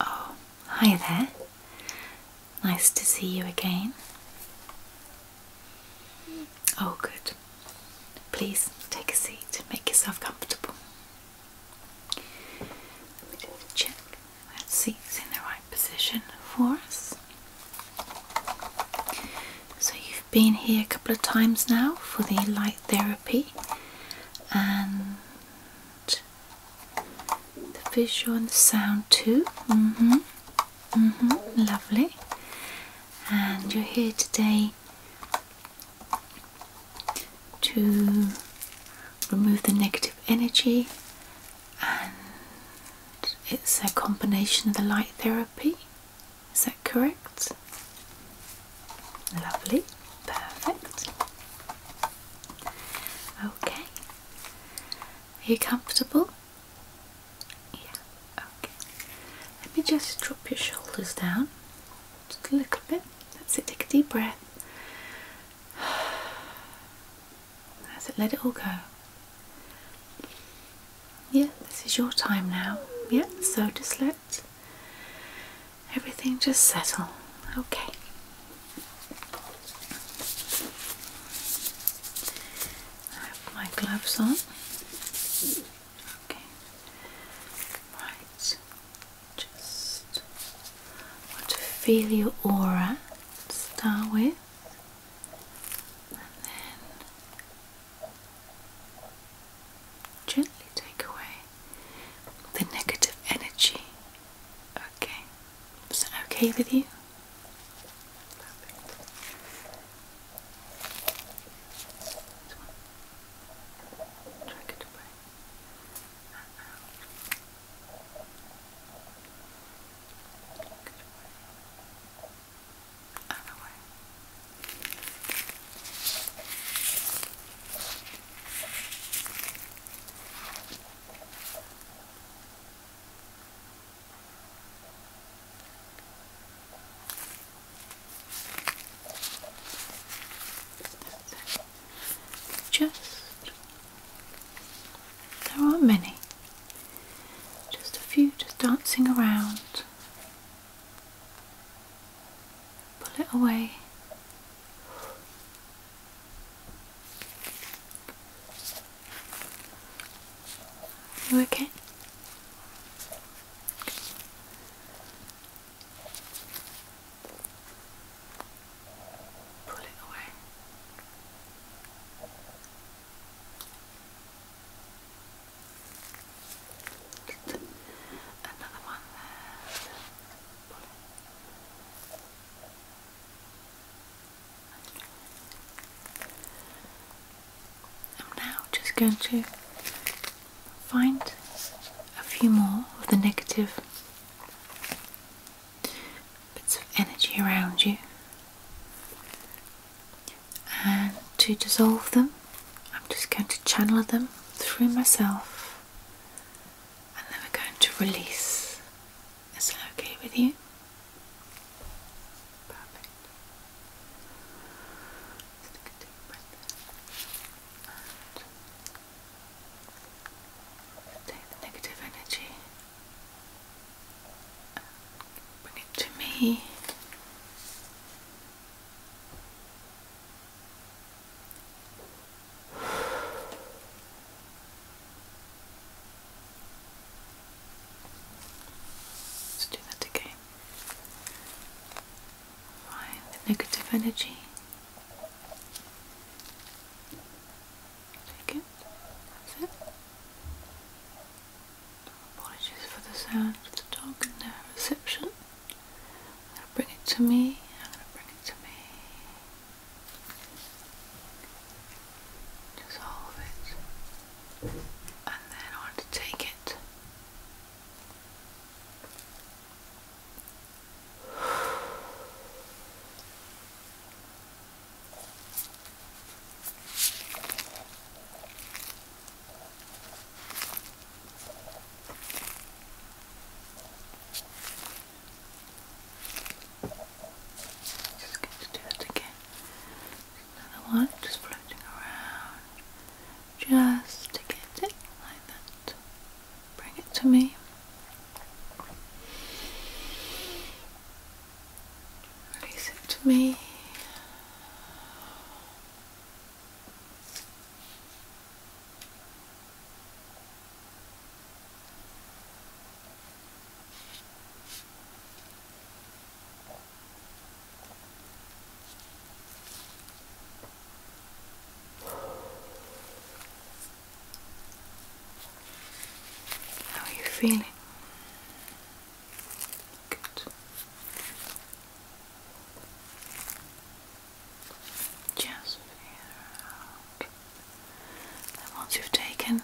Oh, hi there. Nice to see you again. Oh, good. Please take a seat, and make yourself comfortable. We just check that seat's in the right position for us. So, you've been here a couple of times now for the light therapy, and the vision, and the sound too. hmm. hmm. Lovely. And you're here today to remove the negative energy and it's a combination of the light therapy. Is that correct? Lovely, perfect. Okay, are you comfortable? Yeah, okay. Let me just drop your shoulders down a little bit. That's it, take a deep breath. That's it, let it all go yeah, this is your time now. Yeah, so just let everything just settle. Okay. I have my gloves on. Okay. Right. Just want to feel your aura start with and then gently take away the negative energy. Okay, is that okay with you? Just there aren't many just a few just dancing around. Pull it away. You okay? Pull it away. Another one there. I'm now just going to find a few more of the negative bits of energy around you and to dissolve them, I'm just going to channel them through myself and then we're going to release. Is that okay with you? Perfect. take a deep breath take the negative energy bring it to me. Let's do that again. Find the negative energy. Take it. That's it. Apologies for the sound of the dog in the reception. I'm gonna bring it to me. I'm gonna bring it to me. Dissolve it. And then I want to take it. Just going to do it again. Another one just floating around. Just to get it like that. Bring it to me. Release it to me. How are you feeling? Good. Just figure out. And once you've taken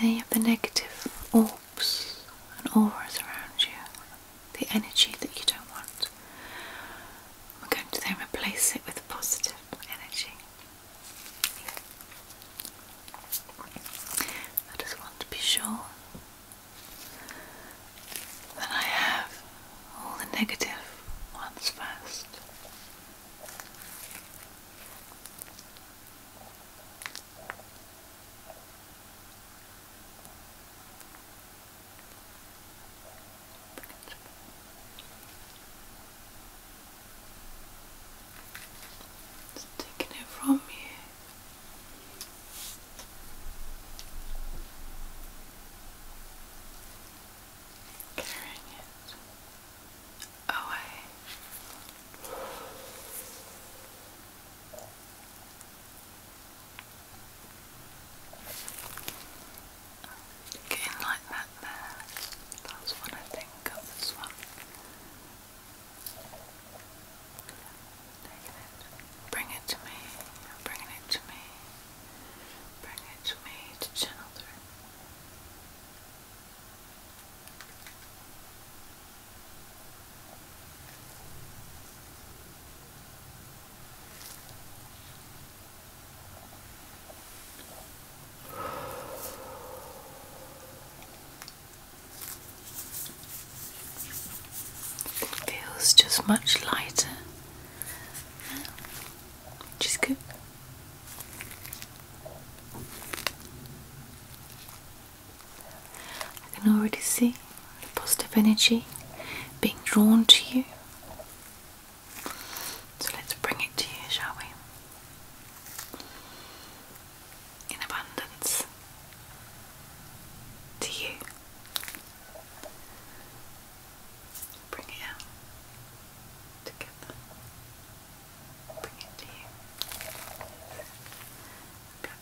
any of the negative orbs and auras around you, the energy that you don't want, we're going to then replace it with positive energy. I just want to be sure that I have all the negative ones first. It's it from you. Carrying it away. Getting like that there. That's what I think of this one. Taking it. Bring it to me. i it to me. Bring it to me to channel through. Feels just much lighter, Just good. I can already see the positive energy being drawn to you. So let's bring it to you, shall we? in abundance to you. Bring it out together. Bring it to you. Go.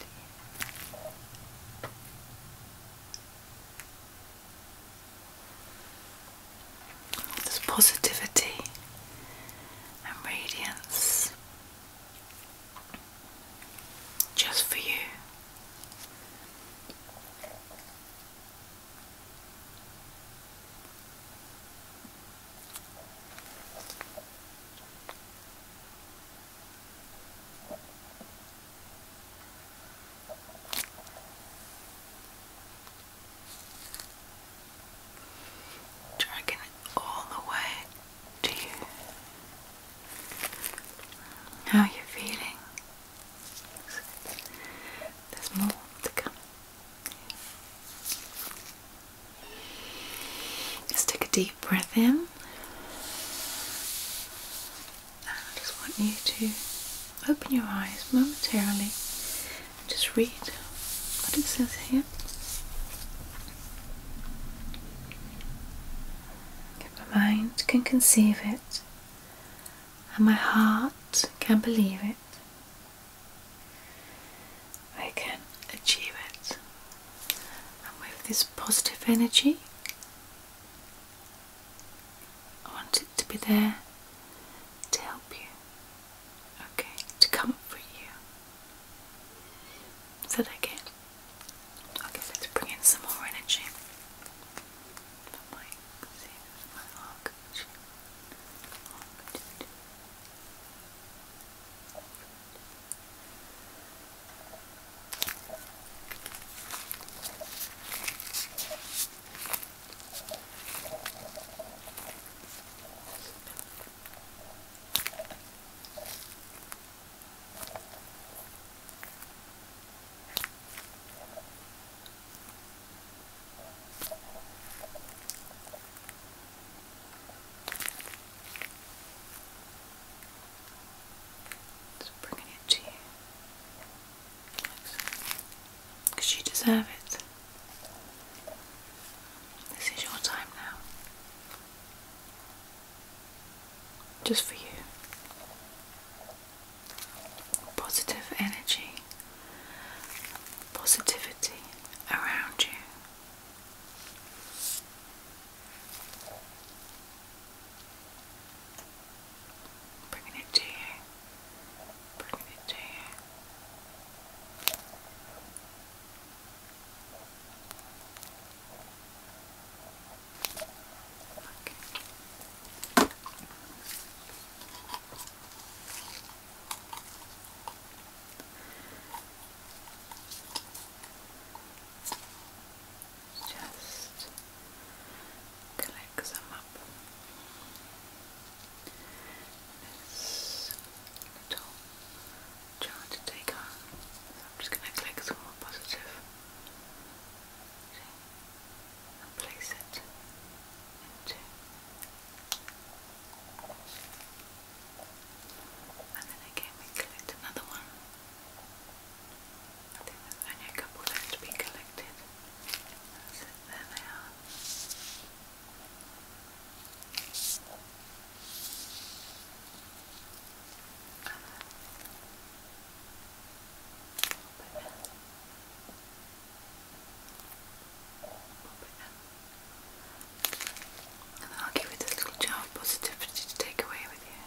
To you. Bring all this positivity and radiance just for you dragging it all the way to you. How are feeling? There's more to come. let take a deep breath in. And I just want you to open your eyes momentarily just read what it says here. my mind can conceive it, and my heart can believe it, I can achieve it. And with this positive energy, I want it to be there to help you, okay, to comfort you. So that okay? Okay, let's bring in some more energy. Just bringing it to you. Because you deserve it. This is your time now. Just for you. Positive energy, positivity around you. Bringing it to you, bringing it to you. Okay. Just collect some up this little jar to take on. I'm just going to click some more positive and place it and then again we collect another one. only a couple left to be collected. there they are. And I'll give you this little jar of positivity to take away with you.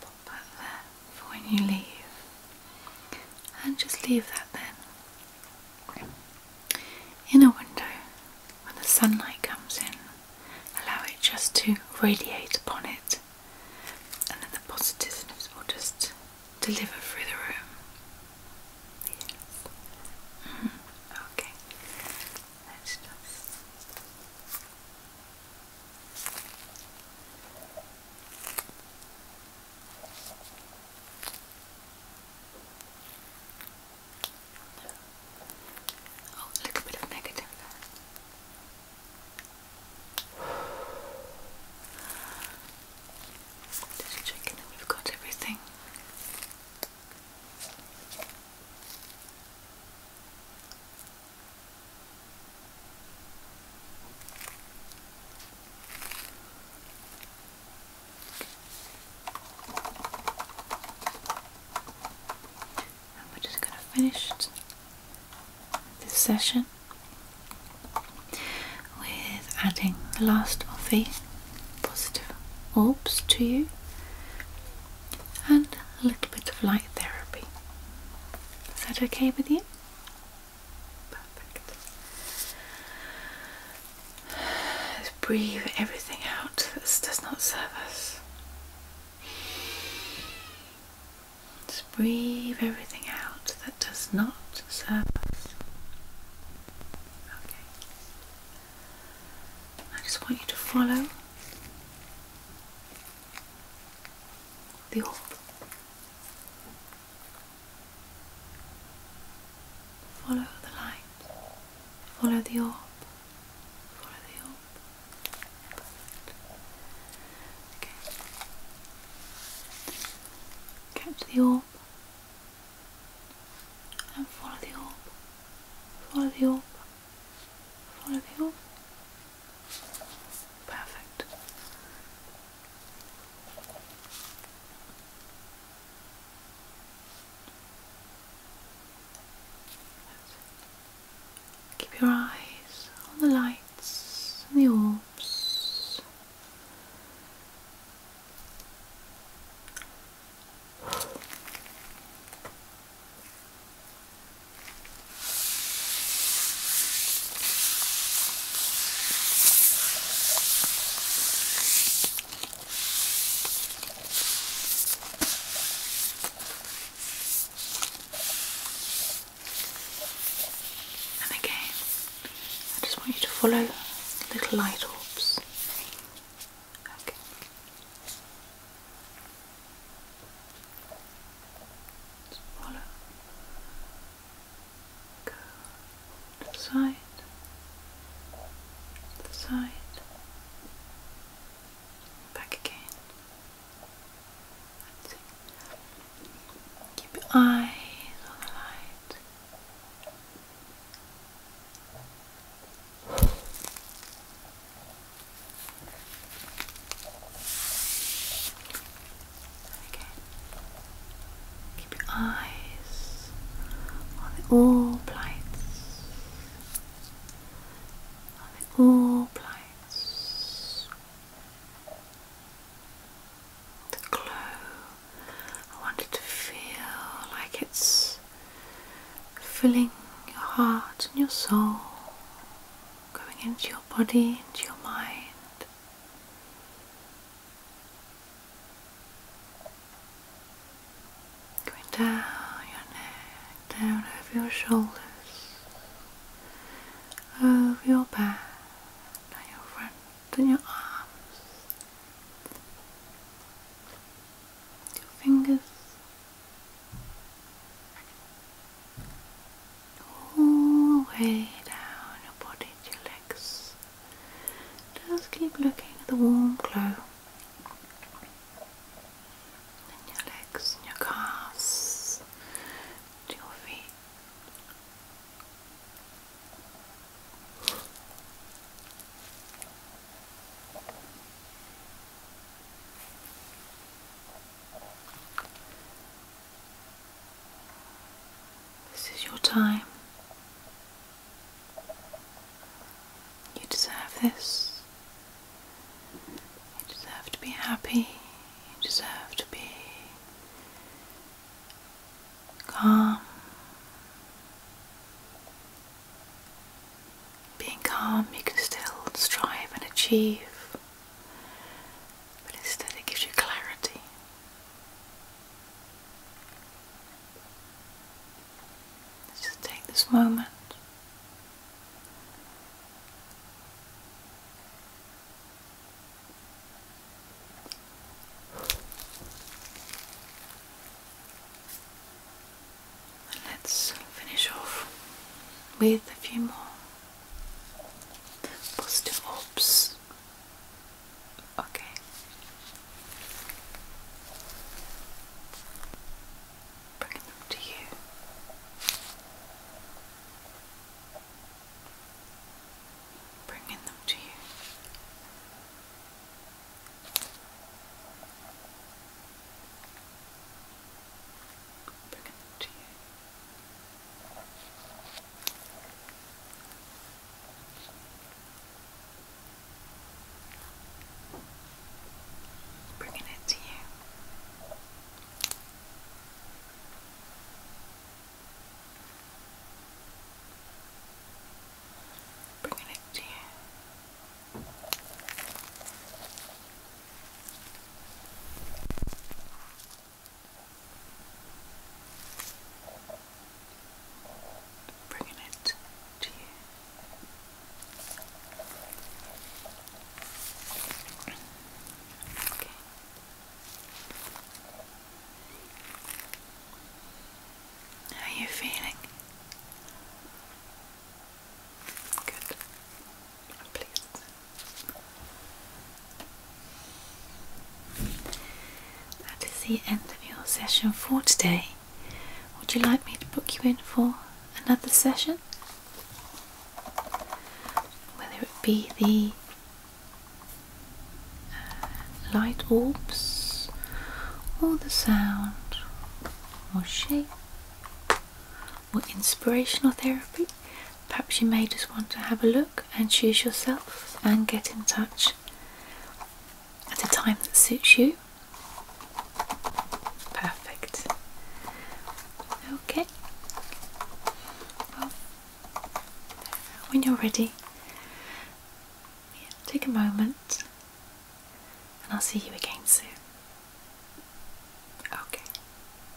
Pop that there for when you leave, and just leave that then in a window when the sunlight comes in. Allow it just to radiate upon it, and then the positiveness will just deliver through the room. Yes. Mm Okay. Let's just. Oh, a bit of negative Just checking that we've got everything. And we're just going to finish this session with adding the last of the positive orbs to you and a little bit of light therapy. Is that okay with you? Perfect. Let's breathe everything out that does not serve us. Let's breathe everything out that does not serve us. Okay. I just want you to follow the orb. Follow the light. Follow the orb. Follow the orb. Perfect. Okay. Catch the orb and follow the orb, follow the orb, follow the orb. Perfect. Keep your eyes on the lights and the orbs. And again, I just want you to follow little light orbs Okay. Go side. side. Back again. Keep your eyes on the light. Okay. Keep your eyes on the all plights. On the all plights. The glow. I want it to feel like it's filling your heart and your soul, going into your body, into your mind. Going down your neck, down over your shoulders, over your back, down your front and your arms your fingers all the way down your body to your legs. Just keep looking at the warm glow. And your legs and your calves to your feet. This is your time. You deserve this. You deserve to be happy. You deserve to be calm. Being calm, you can still strive and achieve, but instead, it gives you clarity. just take this moment. And let's finish off with a few more positive orbs. Okay. Bring them to you. Bringing them to you. Bring it to you. Bringing it to you bringing it to you. Bringing it to you. Okay. How are you feeling? Good. i That is the end of your session for today. Would you like me to book you in for another session? Whether it be the uh, light orbs or the sound more shape, more inspirational therapy. Perhaps you may just want to have a look and choose yourself and get in touch at a time that suits you. Perfect. Okay. Well, when you're ready, take a moment and I'll see you again soon. Okay,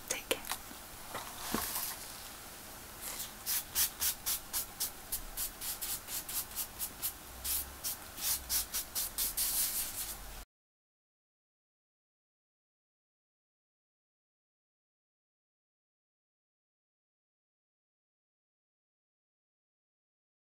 take care.